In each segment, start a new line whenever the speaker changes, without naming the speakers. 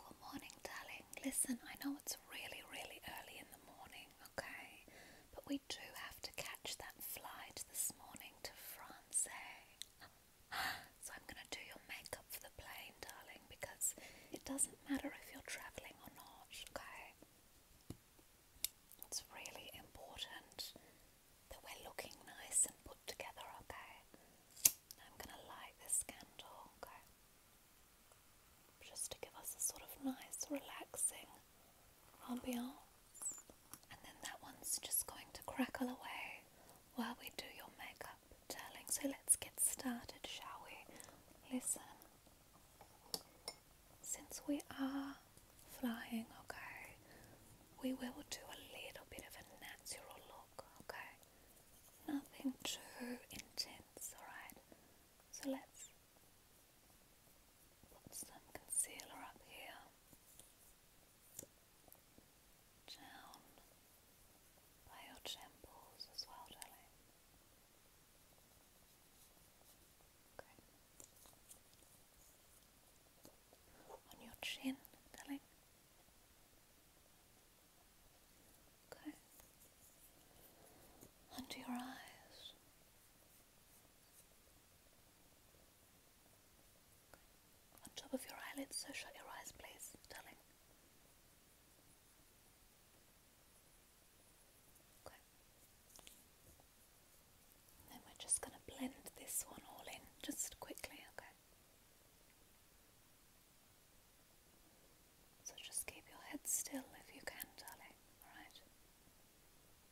Good morning, darling. Listen, I know it's really, really early in the morning, okay? But we do have to catch that flight this morning to France. Eh? So I'm going to do your makeup for the plane, darling, because it doesn't matter if you're travelling or not, okay? It's really important that we're looking nice and put together, okay? I'm going to light this candle, okay? just to give us a sort of nice, relaxing ambiance. And then that one's just going to crackle away while we do your makeup, darling. So let's get started, shall we? Listen, since we are flying, okay, we will do a little bit of a natural look, okay? Nothing too intense, alright? So let's put some concealer up here, down by your temples as well, darling. On your chin, darling. Under your eyes. On top of your eyelids, so shut your eyes, please, then we're just going to blend this one all in, just quickly, okay? So just keep your head still if you can, darling, alright?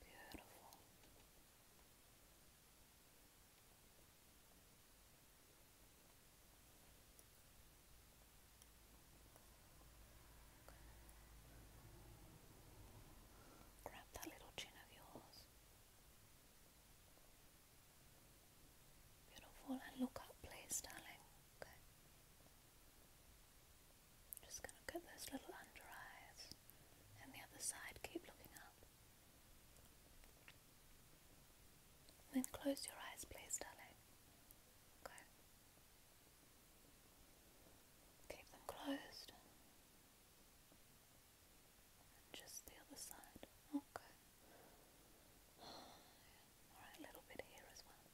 Beautiful. Grab that little chin of yours. Beautiful. And look up, please, darling. Okay. Just gonna those little under eyes. And the other side, keep looking up. Then close your eyes, please, darling. Okay. Keep them closed. just the other side. Okay. Alright, a little bit here as well.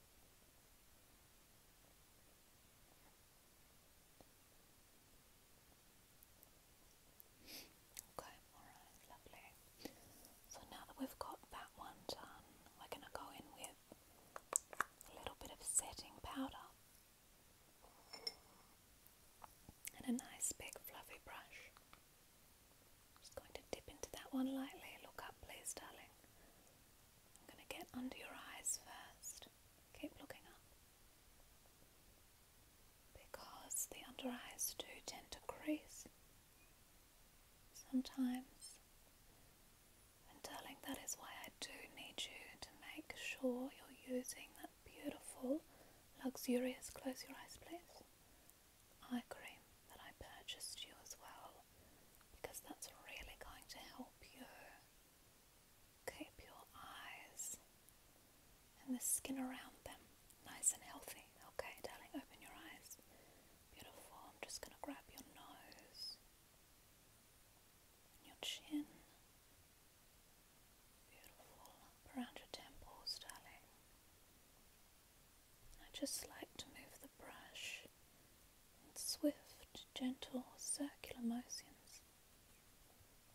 Okay, alright, lovely. So now that we've got that one done, we're going to go in with a little bit of setting powder and a nice big fluffy brush. Just going to dip into that one lightly. Look up, please, darling. I'm going to get under your eyes first. Keep looking up. Because the under eyes do tend to crease. Sometimes. And darling, that is why I do need you to make sure you're using that beautiful, luxurious, close your eyes please. I agree that I purchased you as well because that's really going to help you keep your eyes and the skin around them nice and healthy. Okay, darling, open your eyes. Beautiful. I'm just going to grab your nose and your chin. Beautiful. Around your temples, darling. I just like to move the brush in swift, gentle, circular motions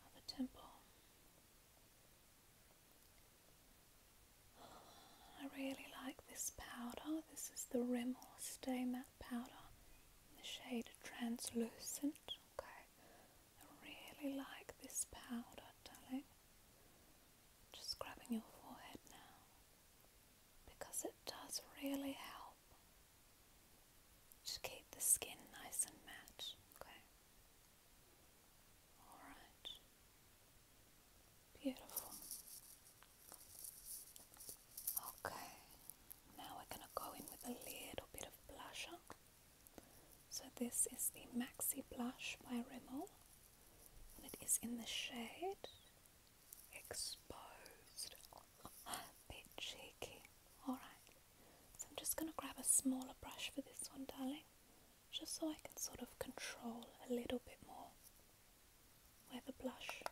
of a temple. I really like this powder. This is the Rimmel Stay Matte Powder in the shade Translucent. Okay, I really like this powder, darling. Just grabbing your forehead now because it does really help to keep the skin nice and matte, okay? Alright. Beautiful. Okay, now we're going to go in with a little bit of blusher. So this is the Maxi Blush by Rimmel, and it is in the shade Exposed. Oh, bit cheeky. Alright, so I'm just going to grab a smaller brush for this one, darling, just so I can sort of control a little bit more where the blush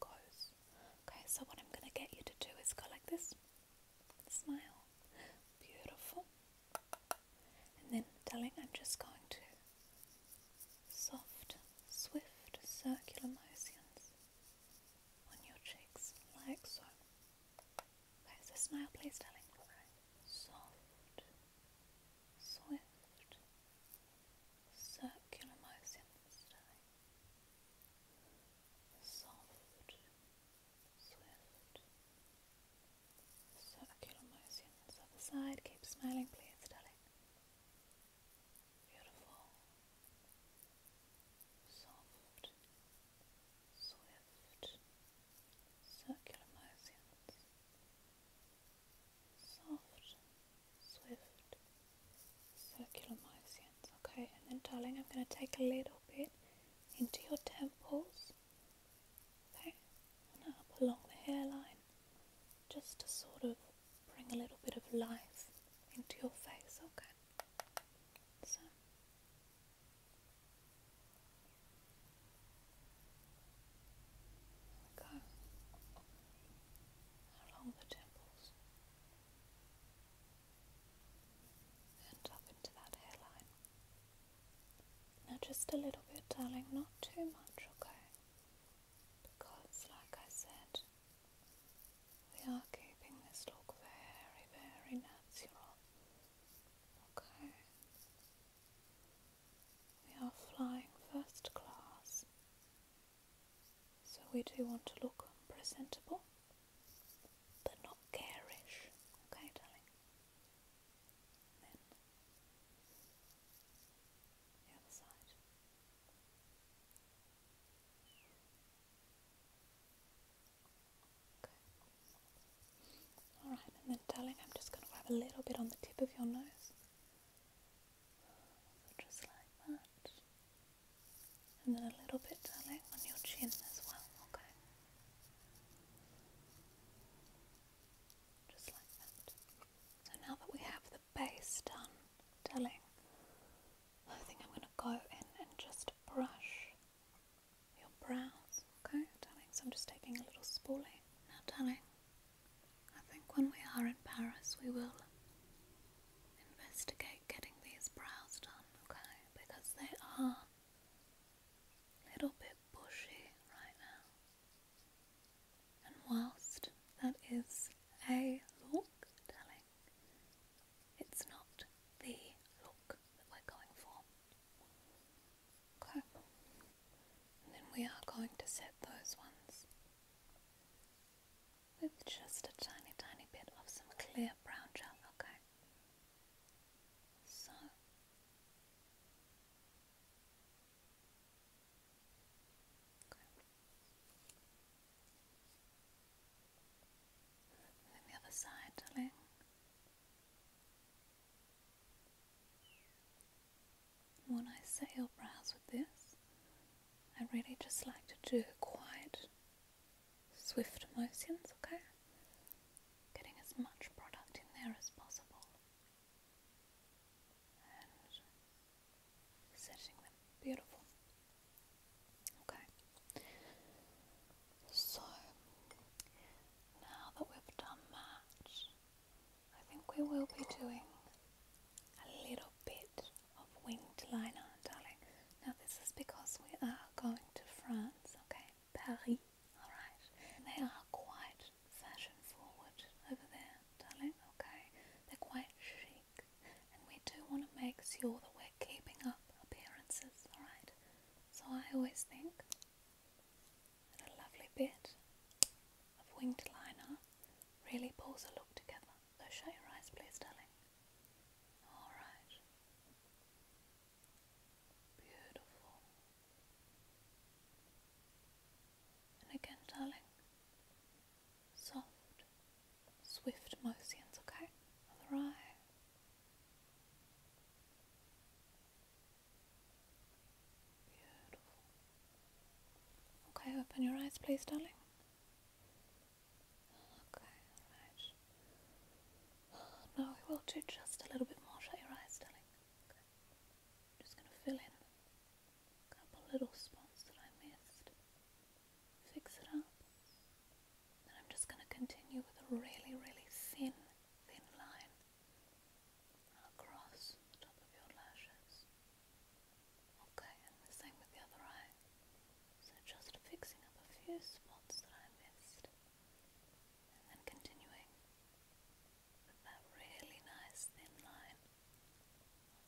goes. Okay, so what I'm going to get you to do is go like this. Smile. Beautiful and then darling I'm just going to soft, swift circular motions on your cheeks like so. There's a smile please darling. Soft, swift, circular motions darling. Soft, Swift. Circular motion. This other side. Keep smiling, please, darling. Beautiful. Soft. Swift. Circular motions. Soft. Swift. Circular motions. Okay, and then, darling, I'm going to take a little bit into your temples. Okay, and up along the hairline just to sort of bring a little bit of life into your face, okay? So go along the temples and up into that hairline. Now, just a little bit, darling, not too much, okay? Because, like I said, we are keeping this look very, very natural, okay? We are flying first class, so we do want to look presentable but not garish, okay, darling? And then Alright, and then darling, I'm just going to grab a little bit on the tip of your nose. just like that. And then a little bit, darling, on your chin as well, okay? Just like that. So now that we have the base done telling, I think I'm going to go in and just brush your brows, okay, darling? So I'm just taking a little spoolie. Now, darling, I think when we are in Paris, we will investigate getting these brows done, okay? Because they are a little bit bushy right now. And whilst that is a look telling, it's not the look that we're going for. Okay. then we are going to set those ones with just a tiny, tiny bit of some clear brown gel, okay? So okay. the other side, darling. When I say your brows with this, I really just like to do quiet, swift motions, okay? getting as much product in there as possible and setting Beautiful. Okay. So now that we've done that, I think we will be doing a little bit of winged liner, darling. Now this is because we are going to France, okay? Paris. Alright. They are quite fashion forward over there, darling, okay? They're quite chic. And we do want to make sure that we're keeping up appearances, alright? So I always think that a lovely bit of winged liner really pulls a look together. So shut your eyes, please, darling. Alright. Beautiful. And again, darling, soft, swift motions, okay? Other eye. Beautiful. Okay, open your eyes, please, darling. Okay, no, we will do just a little bit more. Shut your eyes, darling. just going to fill in a couple little spots that I missed. Fix it up. And I'm just going to continue with a really, really thin, thin line across the top of your lashes. Okay, and the same with the other eye. So just fixing up a few spots that I missed and continuing with that really nice thin line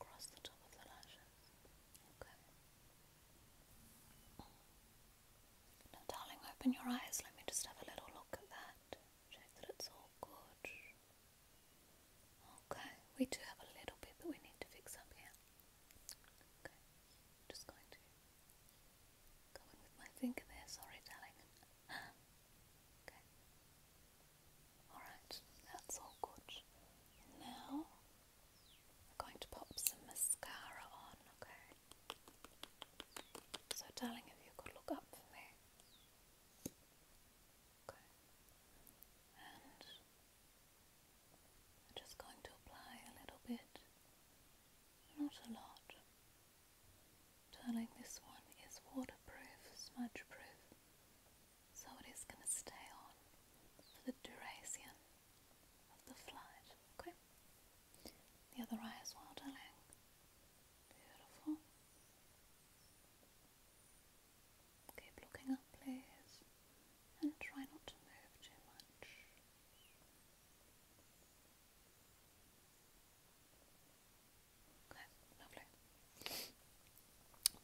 across the top of the lashes. Okay. darling, open your eyes. Let me just have a little look at that. Check that it's all good. Okay, we do have a little bit that we need to fix up here. Okay, just going to okay. Alright, that's all good. Now I'm going to pop some mascara on, okay? So darling, if you could look up for me. Okay. And I'm just going to apply a little bit not a lot. Darling, this one is waterproof, smudge proof, so it is going to stay on for the duration of the flight. Okay? The other eye as well, darling. Beautiful. Keep looking up, please, and try not to move too much.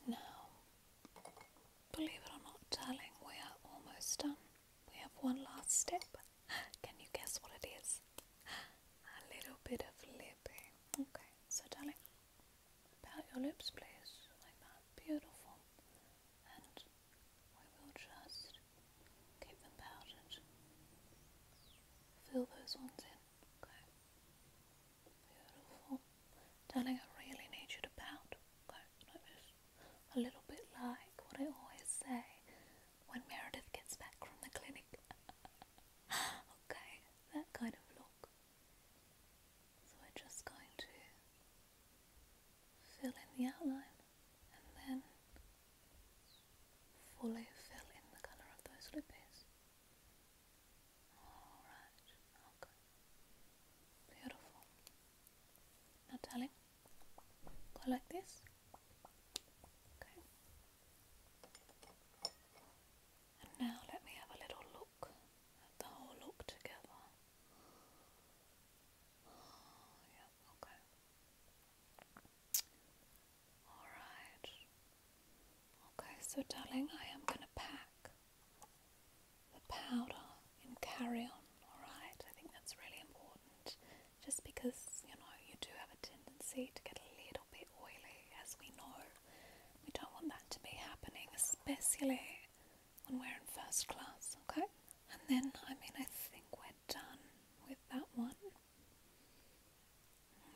Now, believe it or not, darling, we are almost done. We have one last step. Can you guess what it is? A little bit of lipping. Okay, so darling, pout your lips, please, like that. Beautiful. And we will just keep them powdered. Fill those ones in, okay? Beautiful. Darling, I really need you to pout, okay? a little bit like what I always say when Meredith gets back from the clinic. okay, that kind of look. So we're just going to fill in the outline and then fully fill in the colour of those loopies. Alright, okay. Beautiful. Now darling, go like this. Okay. And now let me have a little look at the whole look together. Oh, yeah. Okay. Alright. Okay, so darling, I am going to pack the powder in carry on, alright? I think that's really important just because, you know, you do have a tendency to get a little bit oily, as we know. We don't want that to be happening, especially when we're in first class, okay? And then, I mean, I think we're done with that one.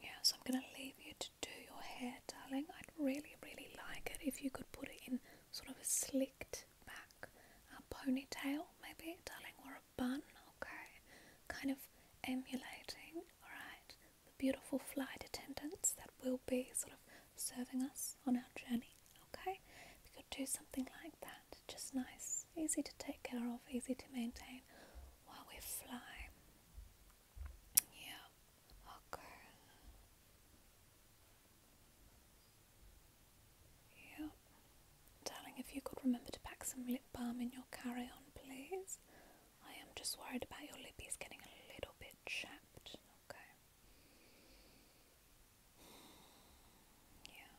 Yeah, so I'm going to leave you to do your hair, darling. I'd really, really like it if you could put it in sort of a slicked back a uh, ponytail, maybe, darling, or a bun, okay? Kind of emulating, alright, the beautiful flight attendants that will be sort of serving us on our journey, okay? If you could do something like that just nice, easy to take care of, easy to maintain while we fly. Yeah, okay. Yeah. Darling, if you could remember to pack some lip balm in your carry on, please. I am just worried about your lippies getting a little bit chapped. Okay. Yeah.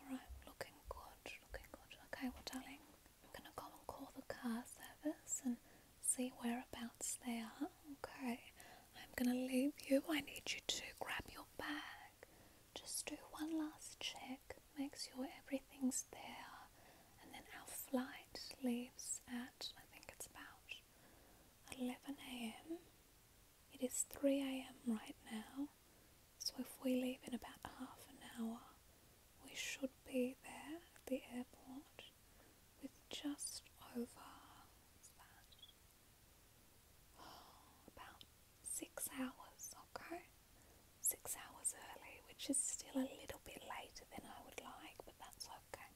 Alright, looking good, looking good. Okay, well, darling, I'm going to go and call the car service and see whereabouts they are. Okay, I'm going to leave you. I need you to grab your bag. Just do one last check, make sure everything's there, and then our flight leaves at, I think it's about 11 a.m. It is 3 am right now, so if we leave in about half an hour, we should be there at the airport with just over that? about six hours, okay? Six hours early, which is still a little bit later than I would like, but that's okay.